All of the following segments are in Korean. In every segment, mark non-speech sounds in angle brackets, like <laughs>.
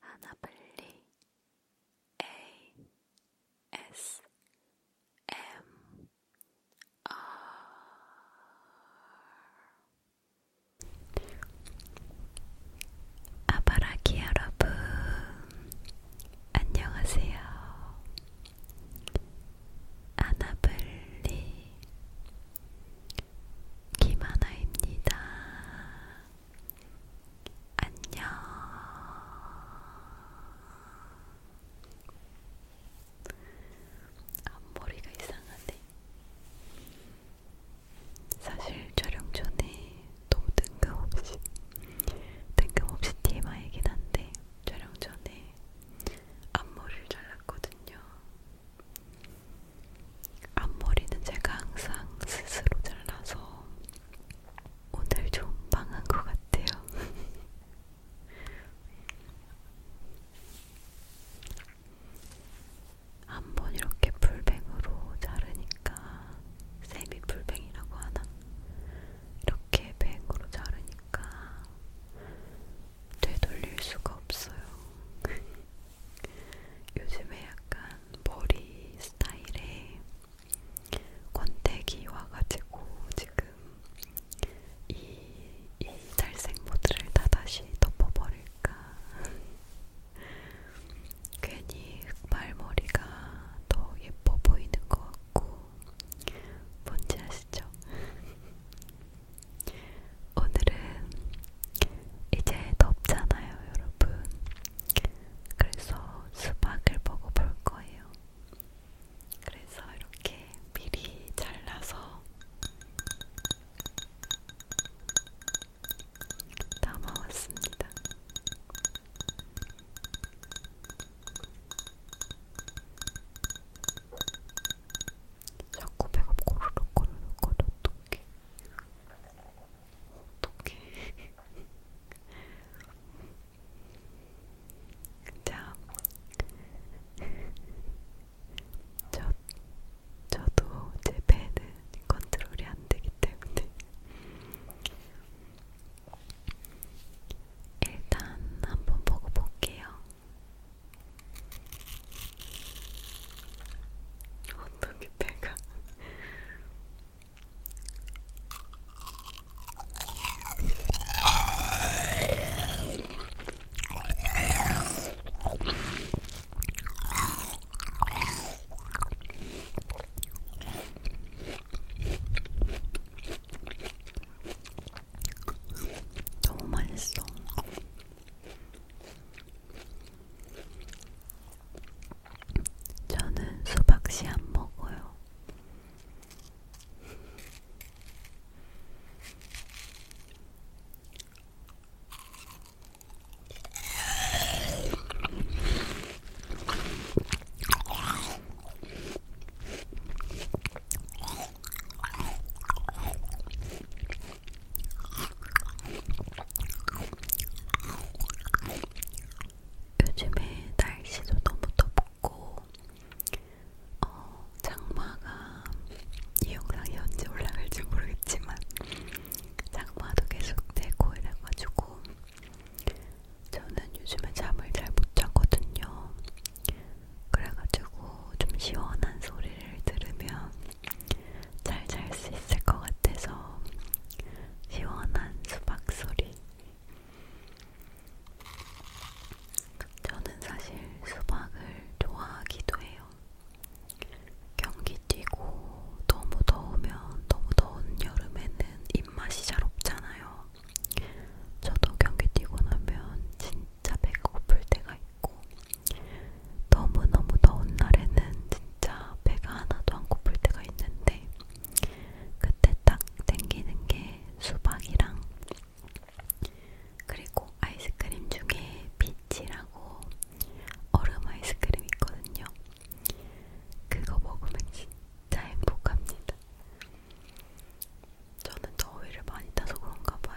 하나블리 ASMR 아바라기 여러분 안녕하세요. 아나블리 김하나입니다. 안녕. 앞머리가 이상하네. 사실 촬영 전에 너무 뜬금없이 뜬금없이 TMI이긴 한데 촬영 전에 앞머리를 잘랐거든요. 앞머리는 제가 항상 스스로 잘라서 오늘 좀 망한 것 같아요. 한번 <laughs> 이렇게 풀뱅으로 자르니까 세미 풀뱅이라고 하나? 이렇게 뱅으로 자르니까 되돌릴 수가 없어요. <laughs> 요즘에 약간 머리 스타일에 권태기 와가지고 지금 이, 이 탈색 모드를 다 다시 덮어버릴까 <laughs> 괜히 흑발머리가 더 예뻐 보이는 것 같고 뭔지 아시죠? <laughs> 오늘은 이제 덥잖아요, 여러분. 그래서 수박을 먹어볼 거예요. 그래서 이렇게 미리 잘라서 담아왔습니다. 자꾸 배가 고르륵 고르륵 거려 어떡해 어떡해. 자, 저, 저도 제 배는 컨트롤이 안 되기 때문에. 일단 한번 보고 볼게요. 어떻게 배가 너무 맛있어. 저는 수박씨 안 먹어요. 요즘에 날씨도 너무 덥고 어, 장마가 이 영상이 언제 올라갈지 모르겠지만 장마도 계속되고 이래가지고 저는 요즘에 잠을 잘못 자거든요. 그래가지고 좀 시원한 소리를 들으면 잘잘수 있을 것 같아서 시원한 수박 소리. 저는 사실 수박을 좋아하기도 해요. 경기 뛰고 너무 더우면 너무 더운 여름에는 입맛이 잘 없잖아요. 저도 경기 뛰고 나면 진짜 배가 고플 때가 있고 너무너무 더운 날에는 진짜 배가 하나도 안 고플 때가 있는데 그때 딱 땡기는 게 수박이랑 그리고 아이스크림 중에 피치라고 얼음 아이스크림 있거든요. 그거 먹으면 진짜 행복합니다. 저는 더위를 많이 타서 그런가 봐요.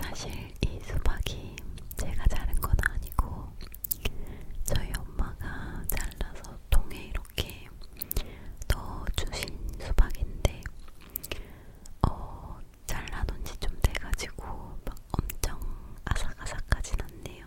사실 이 수박이 제가 자른 건 아니고 저희 엄마가 잘라서 통에 이렇게 넣어 주신 수박인데 어 잘라놓은 지좀 돼가지고 막 엄청 아삭아삭하진 않네요.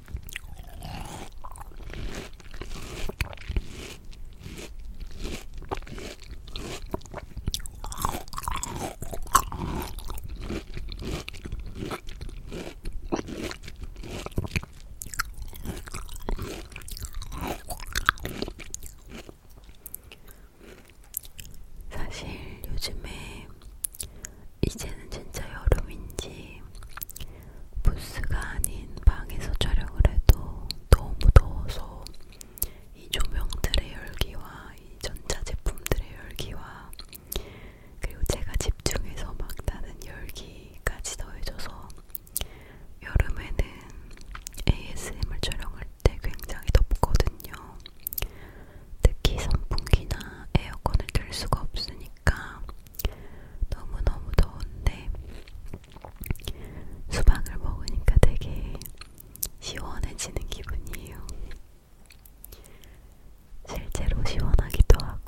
사실 요즘에 이제는 진짜 여름인지 부스가 아닌 방에서 촬영을 해도 너무 더워서 이 조명들의 열기와 이 전자 제품들의 열기와 그리고 제가 집중해서 막 나는 열기까지 더해져서 여름에는 ASMR 촬영할 때 굉장히 덥거든요. 특히 선풍기나 에어컨을 들 수가 없으니까 너무너무 더운데 수박을 먹으니까 되게 시원해지는 기분이에요. 실제로 시원하기도 하고.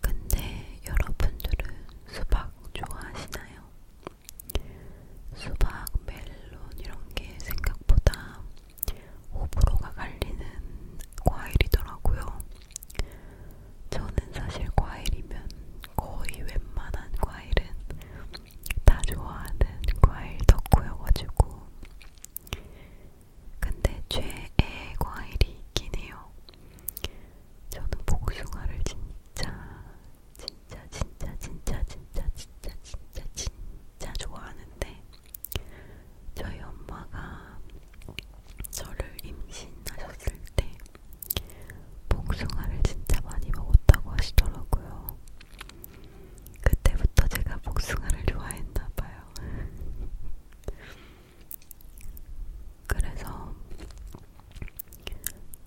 근데 여러분들은 수박 좋아하시나요? 수박, 멜론 이런 게 생각보다 호불호가 갈리는 과일이더라고요. 저는 사실 과일이면 거의 웬만한 과일은 다 좋아하는 과일 덕후여가지고 근데 최애 과일이 있긴 해요. 저는 복숭아를 진짜 진짜 진짜 진짜 진짜 진짜 진짜 진짜 좋아하는데 저희 엄마가 저를 임신하셨을 때 복숭아를 진짜 많이 먹었다고 하시더라고요. 그때부터 제가 복숭아를 좋아했나봐요. 그래서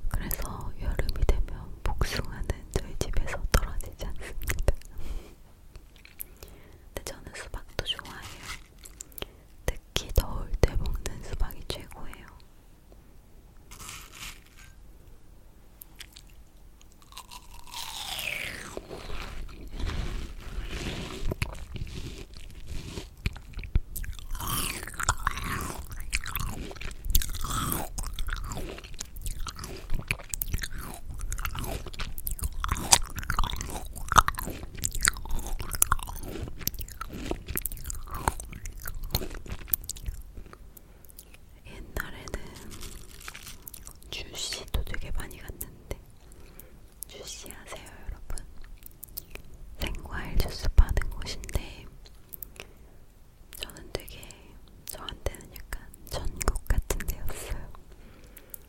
그래서 여름이 되면 복숭아는 저희 집에서 떨어지지 않습니다. 근데 저는 수박도 좋아해요. 특히 더울 때 먹는 수박이 최고예요. 옛날에는 주시도 되게 많이 갔는데 주시 아세요 여러분? 생과일 주스 파는 곳인데 저는 되게 저한테는 약간 전국 같은 데였어요.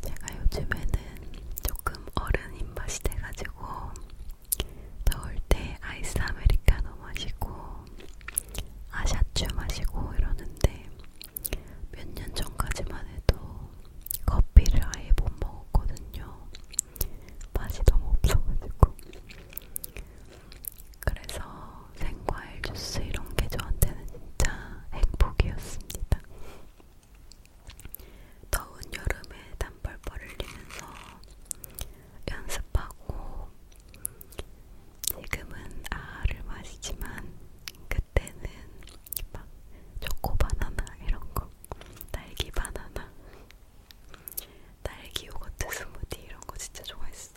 제가 요즘에는 조금 어른 입맛이 돼가지고 더울 때 아이스 아메리카노 마시고 아샤추 마시고 이러는데 몇 년 전까지만 해도 커피를 아예 못 먹었거든요. 맛이 너무 없어가지고. 그래서 생과일 주스 이런 게 저한테는 진짜 행복이었습니다. 더운 여름에 단벌벌 흘리면서 연습하고 지금은 아를 마시지만 그때는 막 초코 바나나 이런 거, 딸기 바나나, 딸기 요거트 스무디 이런 거 진짜 좋아했어요.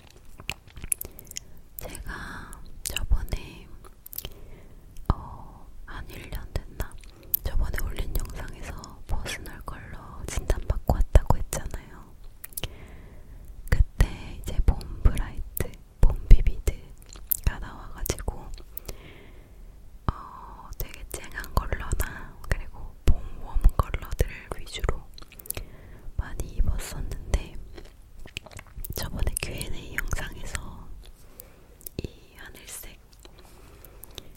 제가 저번에 어, 한 1년 됐나? 저번에 올린 영상에서 버스널 컬러 진단받고 왔다고 했잖아요. 그때 이제 봄 브라이트, 봄 비비드가 나와가지고 어, 되게 쨍한 컬러나 그리고 봄웜 컬러들 위주로 많이 입었었는데 저번에 Q&A 영상에서 이 하늘색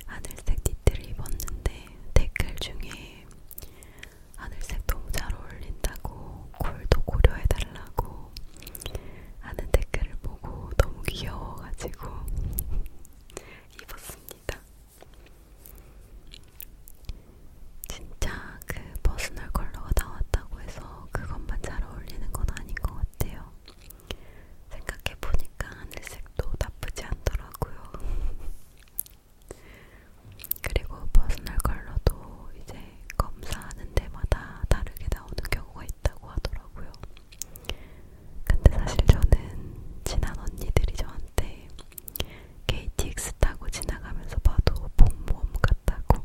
하늘색 니트를 입었는데 댓글 중에 하늘색 너무 잘 어울린다고 콜도 고려해달라고 하는 댓글을 보고 너무 귀여워가지고 <laughs> 입었습니다. 진짜 그 퍼스널 컬러가 나왔다고 해서 그것만 잘 어울리는 건 아닌 것 같아요. 생각해보니까 하늘색도 나쁘지 않더라고요. <laughs> 그리고 퍼스널 컬러도 이제 검사하는 데마다 다르게 나오는 경우가 있다고 하더라고요. 근데 사실 저는 친한 언니들이 저한테 KTX 타고 지나가면서 봐도 봄웜 같다고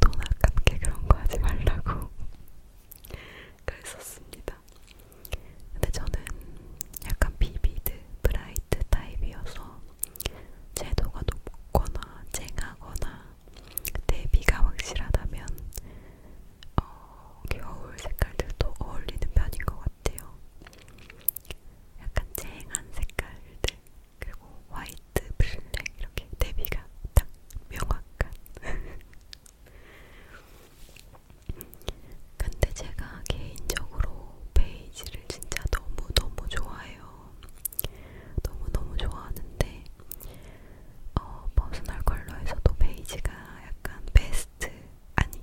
돈 아깝게 그런 거 하지 말라고 <laughs> 그랬었습니다. 근데 저는 약간 비비드, 브라이트 타입이어서 채도가 높거나 쨍하거나 대비가 확실하다면 어, 겨울 색깔들도 어울리는 편인 것 같아요. 약간 쨍한 색깔들 그리고 화이트, 블랙 이렇게 대비가 딱 명확한. <laughs> 근데 제가 개인적으로 베이지를 진짜 너무너무 좋아해요. 너무너무 좋아하는데 어, 퍼스널 컬러에서도 베이지가 약간 베스트 아니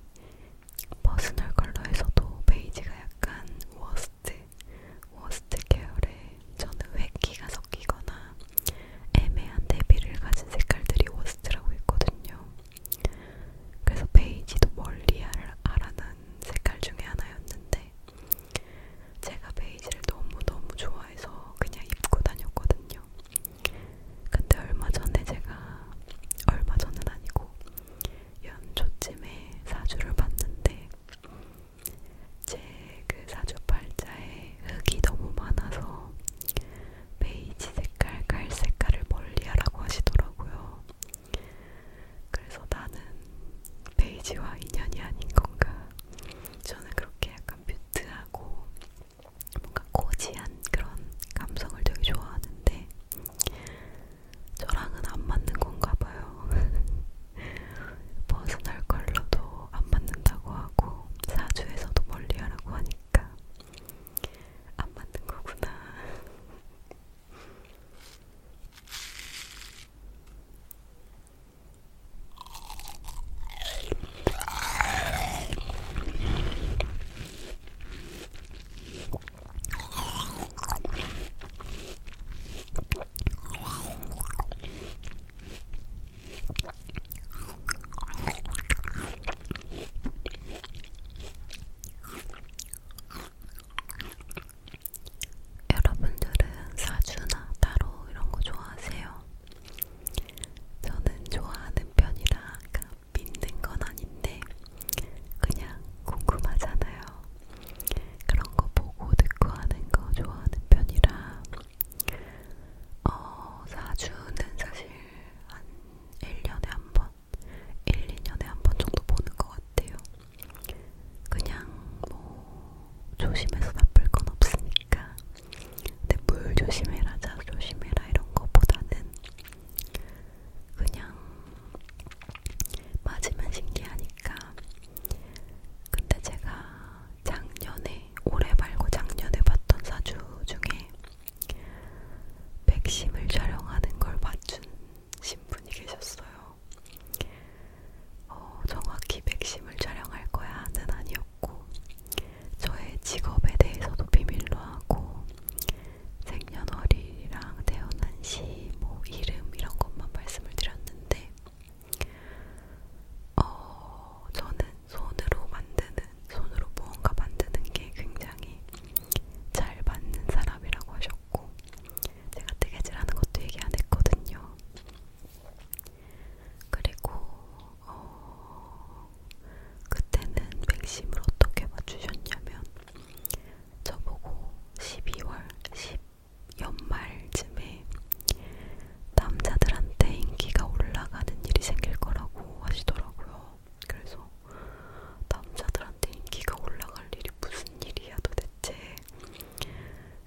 퍼스널 컬러에서도 베이지가 약간 워스트 워스트 계열에 저는 회기가 섞이거나 애매한 대비를 가진 색깔들이 워스트라고 했거든요. 그래서 베이지도 멀리 알아는 색깔 중에 하나였는데 제가 베이지를 너무너무 좋아해서 그냥 입고 다녔거든요. 근데 얼마 전에 제가 얼마 전은 아니고 연초쯤에 사주를 봤는데 제그 사주팔자에 흙이 너무 많아서 베이지 색깔, 깔 색깔을 멀리하라고 하시더라고요. 그래서 나는 베이지와 인연이 아닌 건가? 저는 그렇게 약간 뮤트하고 뭔가 코지한 그런 감성을 되게 좋아하는데 저랑은 안 맞는 건가 봐요. 버스널 <laughs> 컬러도 안 맞는다고 하고 사주에서도 멀리하라고 하니까 안 맞는 거구나. 여러분들은 사주나 따로 이런 거 좋아하세요? 저는 좋아하는 편이라 믿는 건 아닌데 그냥 궁금하잖아요. 그런 거 보고 듣고 하는 거 좋아하는 편이라 어, 사주는 사실 한 1년에 한 번, 1, 2년에 한 번 정도 보는 것 같아요. 그냥 뭐 조심해서 나쁠 건 없으니까. 근데 물 조심해라, 자 조심해라 이런 거보다는 그냥 맞으면 신기하니까 근데 제가 작년에 올해 말고 작년에 봤던 사주 중에 백심을 촬영하는 걸 맞춘 신분이 계셨어요. 어, 정확히 백심을 촬영할 거야는 아니었고 저의 직업에 대해서도 비밀로 하고 생년월일이랑 태어난 시 위치, 뭐 이름 이런 것만 말씀을 드렸는데, 어, 저는 손으로 만드는, 손으로 무언가 만드는 게 굉장히 잘 맞는 사람이라고 하셨고, 제가 뜨개질하는 것도 얘기 안 했거든요. 그리고 어, 그때는 맥심을 어떻게 맞추셨냐면 저보고 12월 10 연말쯤에 남자들한테 인기가 올라가는 일이 생길 거라고 하시더라고요. 그래서 남자들한테 인기가 올라갈 일이 무슨 일이야 도대체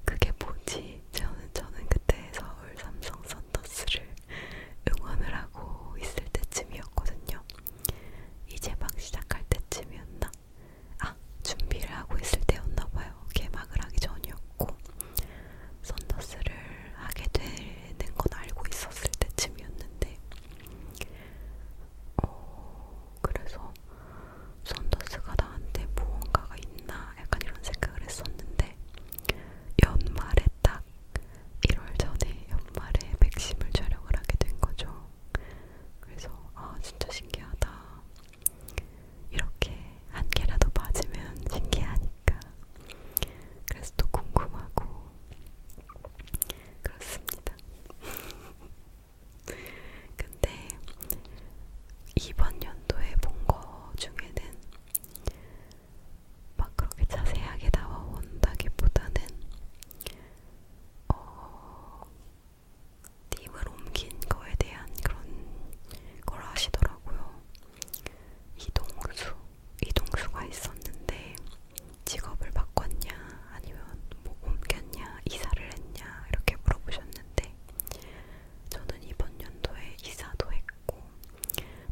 그게 뭐지? 저는 저는 그때 서울 삼성 선더스를 응원을 하고 있을 때쯤이었거든요. 이제 막 시작할 때쯤이었나? 아 준비를 하고 있을 때였나봐요. 개막을 하기 전이었고 썬더스를 하게 되는 건 알고 있었을 때쯤이었는데 어, 그래서 썬더스가 나한테 무언가가 있나 약간 이런 생각을 했었는데 연말에 딱 1월 전에 연말에 백심을 촬영을 하게 된 거죠. 그래서 아 진짜 신기하다. 이렇게 한 개라도 맞으면 신기하니까. 그래서 또 궁금하고 그렇습니다. <laughs> 근데 이번 연도에 본 거 중에는 막 그렇게 자세하게 나와온다기보다는 어, 팀을 옮긴 거에 대한 그런 걸 하시더라고요. 이동수, 이동수가 있었는데 직업을 바꿨냐, 아니면 뭐 옮겼냐, 이사를 했냐 이렇게 물어보셨는데 저는 이번 연도에 이사도 했고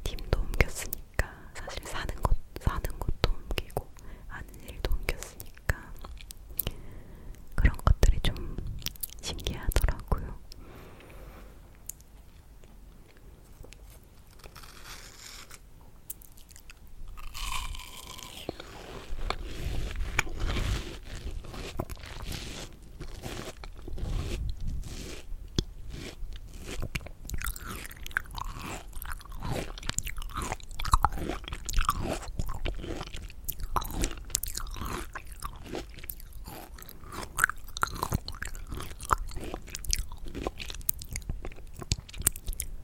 팀도 옮겼으니까 사실 사는 것 사는 것도 옮기고 아는 일도 옮겼으니까. 보니까 그런 것들이 좀 신기하더라고요.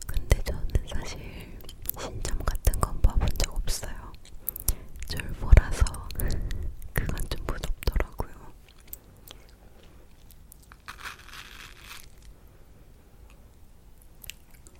근데 저는 사실 신점 같은 건 봐본 적 없어요. 졸보라서 <laughs> 그건 좀 무섭더라고요.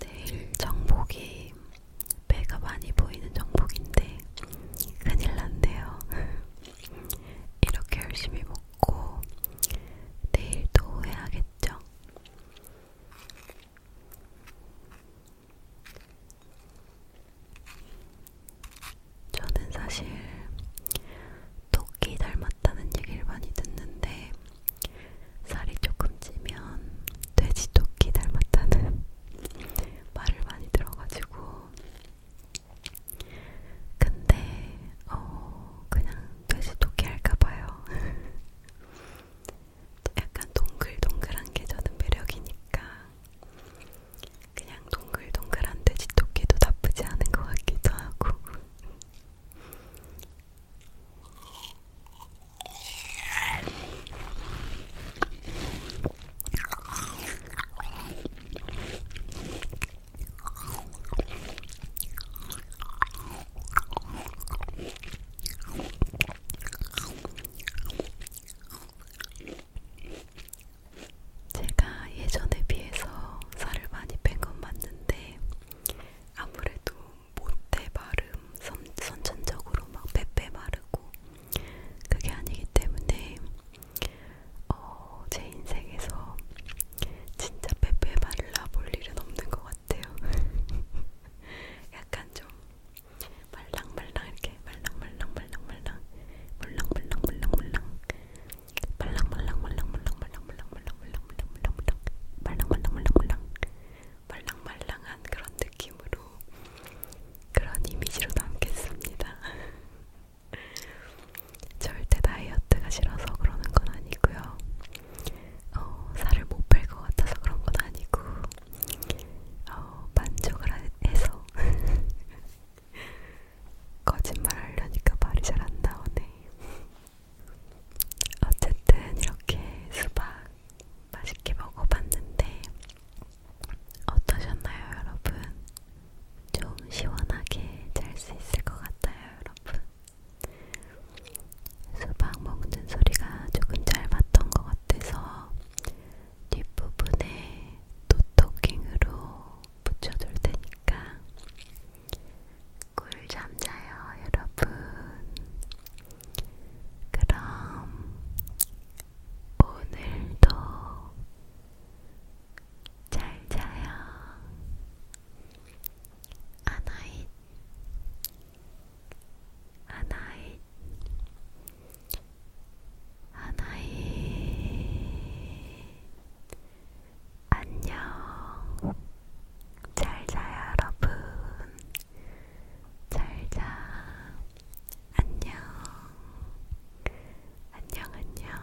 내일 정복이 배가 많이 보이는 정복인데 큰일 났네요. <laughs> 이렇게 열심히 먹고 내일도 해야겠죠. 저는 사실 토끼 닮았다는 얘기를 많이 듣는데 살이 조금 찌면 돼지 토끼 닮았다는 <laughs> 말을 많이 들어가지고 근데 어 그냥 돼지 토끼 할까봐요. <laughs> 약간 동글동글한 게 저는 매력이니까 그냥 동글동글한 돼지 토끼도 나쁘지 않은 것 같기도 하고. 제가 예전에 비해서 살을 많이 뺀 건 맞는데 아무래도 못해 바름 선, 선천적으로 막 빼빼 마르고 그게 아니기 때문에 어, 제 인생에서 진짜 빼빼 말라 볼 일은 없는 것 같아요. <laughs> 약간 좀 말랑말랑 이렇게 말랑말랑말랑말랑 물랑물랑물랑물랑 말랑말랑말랑물랑물랑물랑물랑물랑물랑물랑물랑 말랑말랑물랑물랑 말랑말랑한 그런 느낌으로 그런 이미지로 담겠습니다. <laughs> 절대 다이어트가 싫어서 그러는 건 아니고요. 어, 살을 못 뺄 것 같아서 그런 건 아니고 어, 만족을 해서 <laughs> 거짓말 하려니까 말이 잘 안 나오네. 어쨌든 이렇게 수박 맛있게 먹어봤는데 어떠셨나요, 여러분? 좀 시원하게 잘 수 있을 것 같아요, 여러분. 수박 먹는 소리가 조금 짧았던 것 같아서 뒷부분에 노토킹으로 붙여줄 테니까 꿀잠 자요, 여러분. 그럼 오늘도 잘 자요. 아나잇 아나잇 아나잇 안녕 잘자 여러분 잘자 안녕 안녕 안녕